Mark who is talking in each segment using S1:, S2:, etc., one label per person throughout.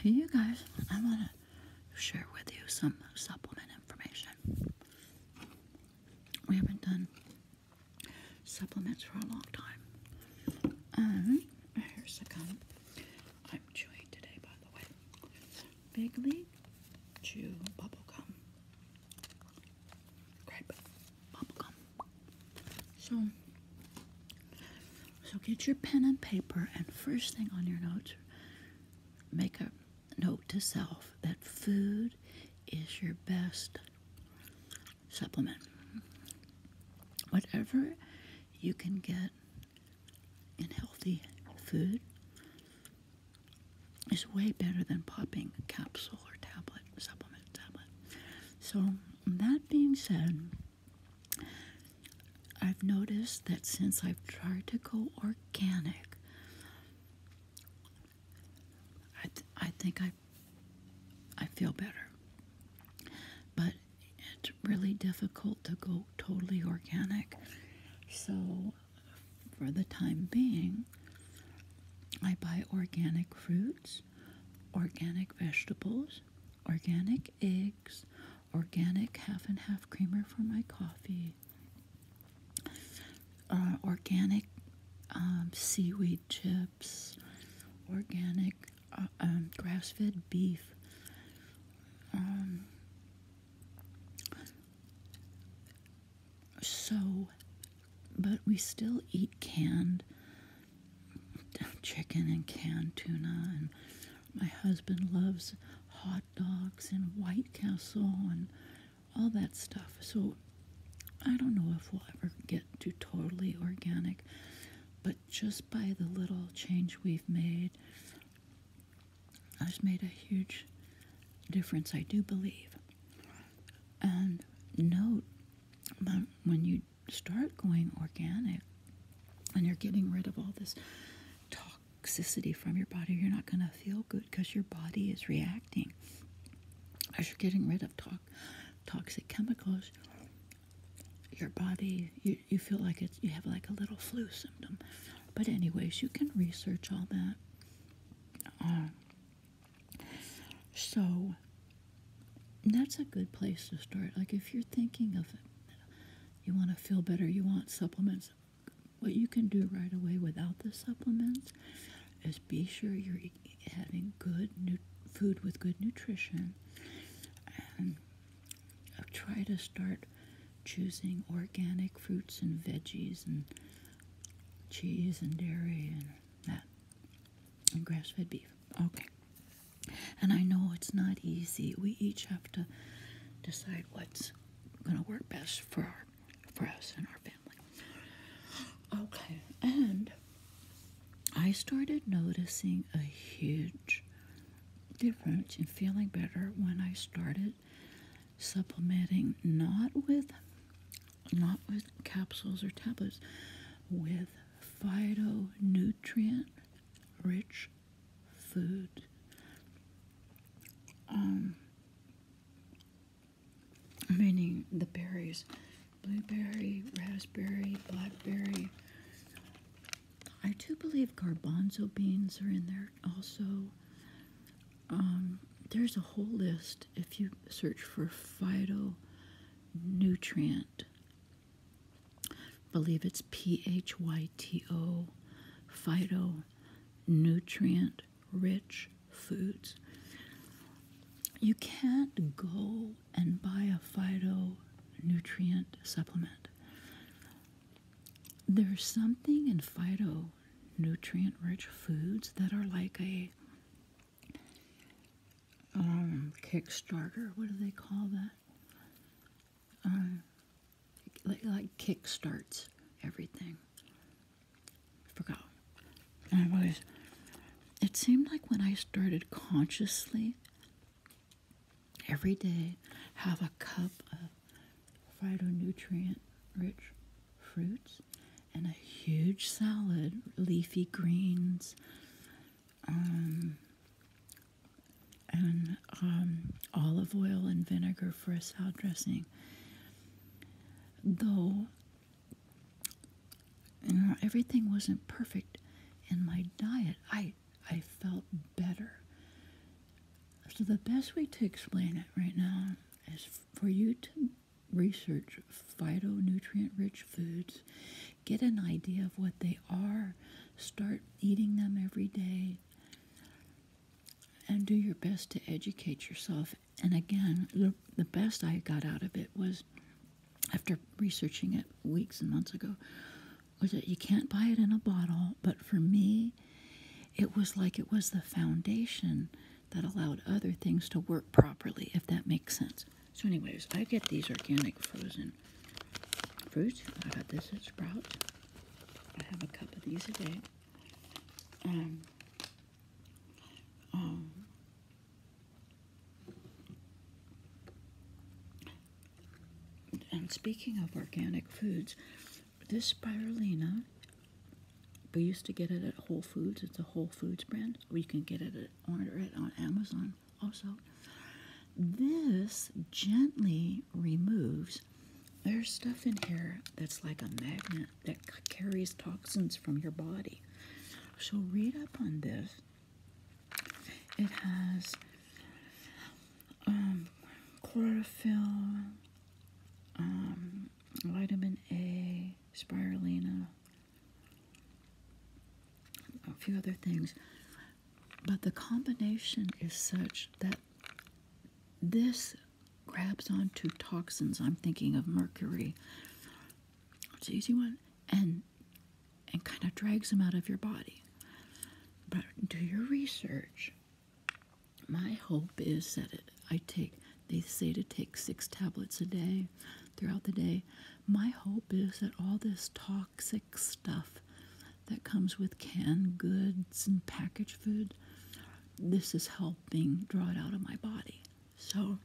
S1: Hey, you guys, I want to share with you some supplement information. We haven't done supplements for a long time. Um, here's a gum I'm chewing today, by the way. Big Chew Bubble Gum. Grape Bubble Gum. So, so get your pen and paper, and first thing on your notes, make a note to self that food is your best supplement. Whatever you can get in healthy food is way better than popping capsule or tablet, supplement tablet. So, that being said, I've noticed that since I've tried to go organic, I, I think I, I feel better. But it's really difficult to go totally organic. So, for the time being, I buy organic fruits organic vegetables, organic eggs, organic half and half creamer for my coffee, uh, organic um, seaweed chips, organic uh, um, grass fed beef. Um, so but we still eat canned chicken and canned tuna and my husband loves hot dogs and white castle and all that stuff so i don't know if we'll ever get to totally organic but just by the little change we've made has made a huge difference i do believe and note but when you start going organic and you're getting rid of all this toxicity from your body, you're not going to feel good because your body is reacting. As you're getting rid of toxic chemicals, your body, you, you feel like it's, you have like a little flu symptom. But anyways, you can research all that. Uh, so that's a good place to start. Like if you're thinking of it, you want to feel better, you want supplements. What you can do right away without the supplements is be sure you're having good food with good nutrition and try to start choosing organic fruits and veggies and cheese and dairy and that and grass fed beef. Okay. And I know it's not easy. We each have to decide what's going to work best for for us and our family. Okay. And I started noticing a huge difference in feeling better when I started supplementing not with not with capsules or tablets, with phytonutrient rich food. Um, meaning the berries blueberry, raspberry, blackberry. I do believe garbanzo beans are in there also. Um, there's a whole list if you search for phytonutrient, believe it's P H Y T O, phytonutrient rich foods. You can't go and buy a phytonutrient supplement. There's something in phyto nutrient rich foods that are like a um, Kickstarter. What do they call that? Um, like, like kickstarts everything. Forgot. Anyways, it seemed like when I started consciously every day have a cup of phytonutrient rich fruits, and a huge salad, leafy greens, um, and um, olive oil and vinegar for a salad dressing. Though everything wasn't perfect in my diet, I I felt better. So the best way to explain it right now is for you to research phytonutrient rich foods, get an idea of what they are, start eating them every day, and do your best to educate yourself. And again, the, the best I got out of it was after researching it weeks and months ago was that you can't buy it in a bottle, but for me, it was like it was the foundation that allowed other things to work properly, if that makes sense. So, anyways, I get these organic frozen fruits. I got this at Sprouts. I have a cup of these a day. Um, um, and speaking of organic foods, this spirulina, we used to get it at Whole Foods. It's a Whole Foods brand. We can get it order it on Amazon also. This gently removes. There's stuff in here that's like a magnet that carries toxins from your body. So read up on this. It has um, chlorophyll, um, vitamin A, spirulina, a few other things. But the combination is such that this grabs onto toxins. I'm thinking of mercury. It's an easy one. And and kind of drags them out of your body. But do your research my hope is that I take, they say to take six tablets a day throughout the day. My hope is that all this toxic stuff that comes with canned goods and packaged food, this is helping draw it out of my body. So,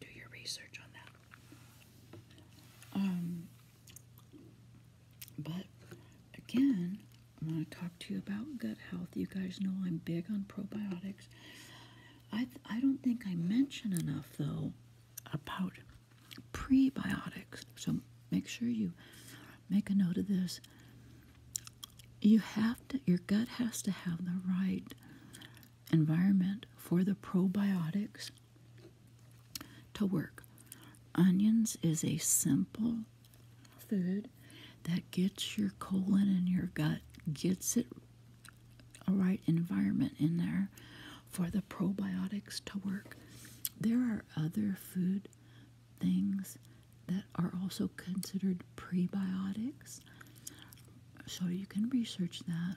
S1: do your research on that. Um, but again, I want to talk to you about gut health. You guys know I'm big on probiotics. I, I don't think I mention enough, though, about prebiotics. So make sure you make a note of this. You have to, your gut has to have the right environment for the probiotics to work. Onions is a simple food that gets your colon and your gut, gets it a right environment in there for the probiotics to work. There are other food things that are also considered prebiotics. So you can research that,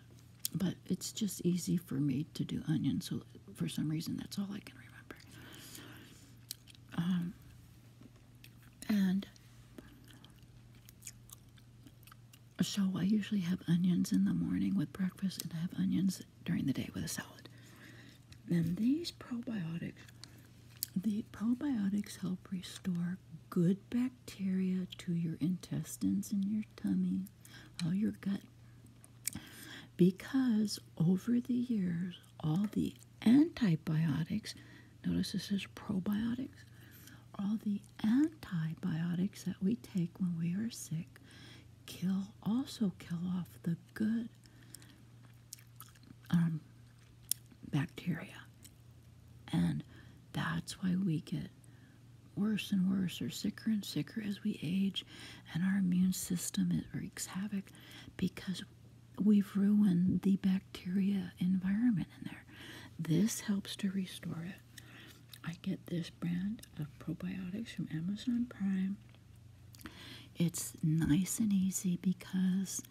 S1: but it's just easy for me to do onions. So for some reason, that's all I can remember. Um, and so I usually have onions in the morning with breakfast, and I have onions during the day with a salad. And these probiotics, the probiotics help restore good bacteria to your intestines and your tummy all oh, your gut. Because over the years, all the antibiotics, notice this is probiotics, all the antibiotics that we take when we are sick kill also kill off the good um, bacteria. And that's why we get worse and worse or sicker and sicker as we age and our immune system it wreaks havoc because we've ruined the bacteria environment in there this helps to restore it i get this brand of probiotics from amazon prime it's nice and easy because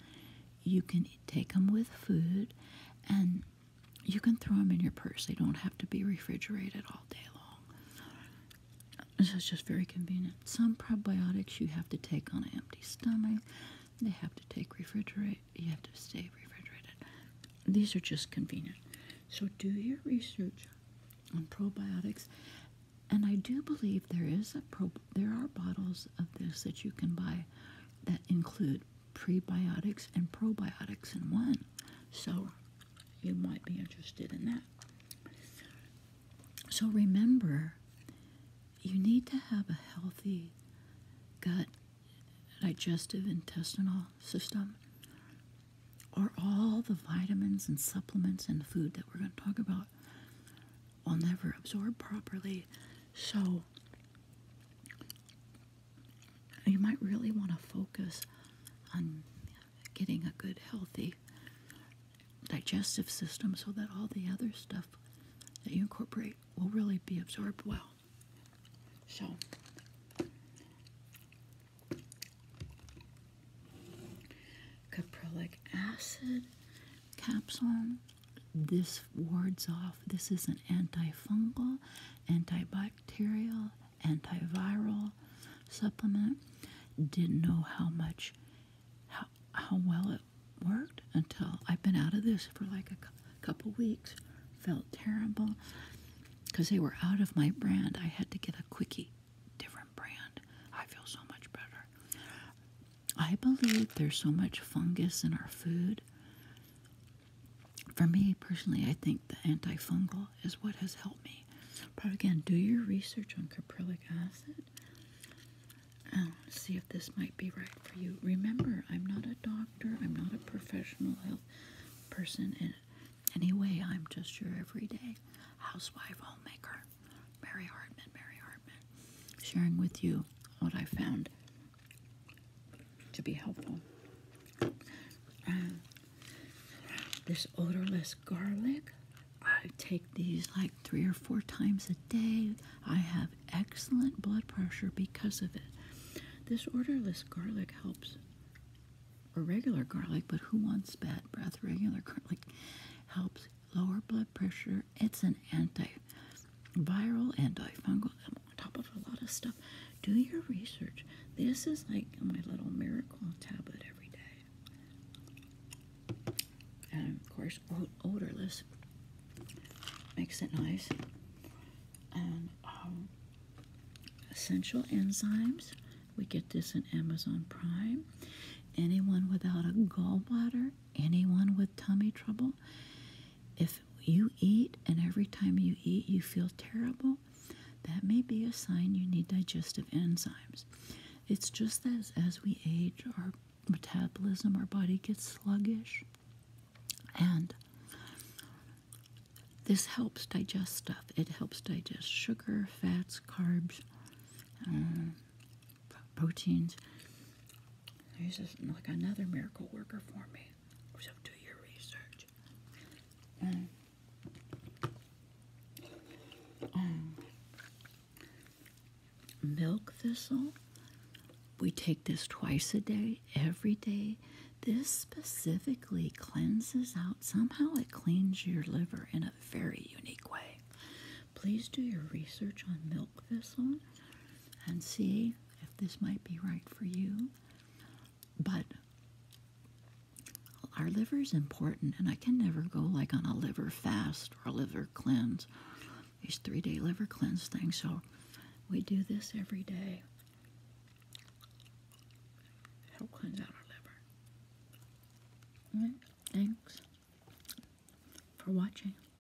S1: you can take them with food and you can throw them in your purse they don't have to be refrigerated all this is just very convenient. Some probiotics you have to take on an empty stomach. They have to take refrigerate. You have to stay refrigerated. These are just convenient. So do your research on probiotics. And I do believe there is a pro there are bottles of this that you can buy that include prebiotics and probiotics in one. So you might be interested in that. So remember, you need to have a healthy gut, digestive, intestinal system, or all the vitamins and supplements and food that we're going to talk about will never absorb properly. So you might really want to focus on getting a good, healthy digestive system so that all the other stuff that you incorporate will really be absorbed well. So, caprylic acid capsule. This wards off, this is an antifungal, antibiotic antibacterial, antiviral supplement. Didn't know how much, how, how well it worked until I've been out of this for like a couple weeks. Felt terrible because they were out of my brand. I had to get a quickie, different brand. I feel so much better. I believe there's so much fungus in our food for me personally, I think the antifungal is what has helped me. But again, do your research on caprylic acid and see if this might be right for you. Remember, I'm not a doctor, I'm not a professional health person in any I'm just your everyday housewife, homemaker, Mary Hartman, Mary Hartman, sharing with you what I found to be helpful. Uh, this odorless garlic, I take these like three or four times a day. I have excellent blood pressure because of it. This odorless garlic helps, or regular garlic, but who wants bad breath? Regular garlic helps lower blood pressure. It's an anti viral, and i on top of a lot of stuff. Do your research. This is like my little miracle tablet every day. And of course, odorless makes it nice. And um, essential enzymes. We get this in Amazon Prime. Anyone without a gallbladder, anyone with tummy trouble, if you eat and every time you eat you feel terrible, that may be a sign you need digestive enzymes. It's just as as we age, our metabolism, our body gets sluggish, and this helps digest stuff. It helps digest sugar, fats, carbs, um, proteins. He's just like another miracle worker for me. So do your research. Um, um, milk thistle. We take this twice a day, every day. This specifically cleanses out, somehow, it cleans your liver in a very unique way. Please do your research on milk thistle and see if this might be right for you. But our liver is important, and I can never go like on a liver fast or a liver cleanse, these three day liver cleanse things. So we do this every day. Help cleanse out our liver. thanks for watching.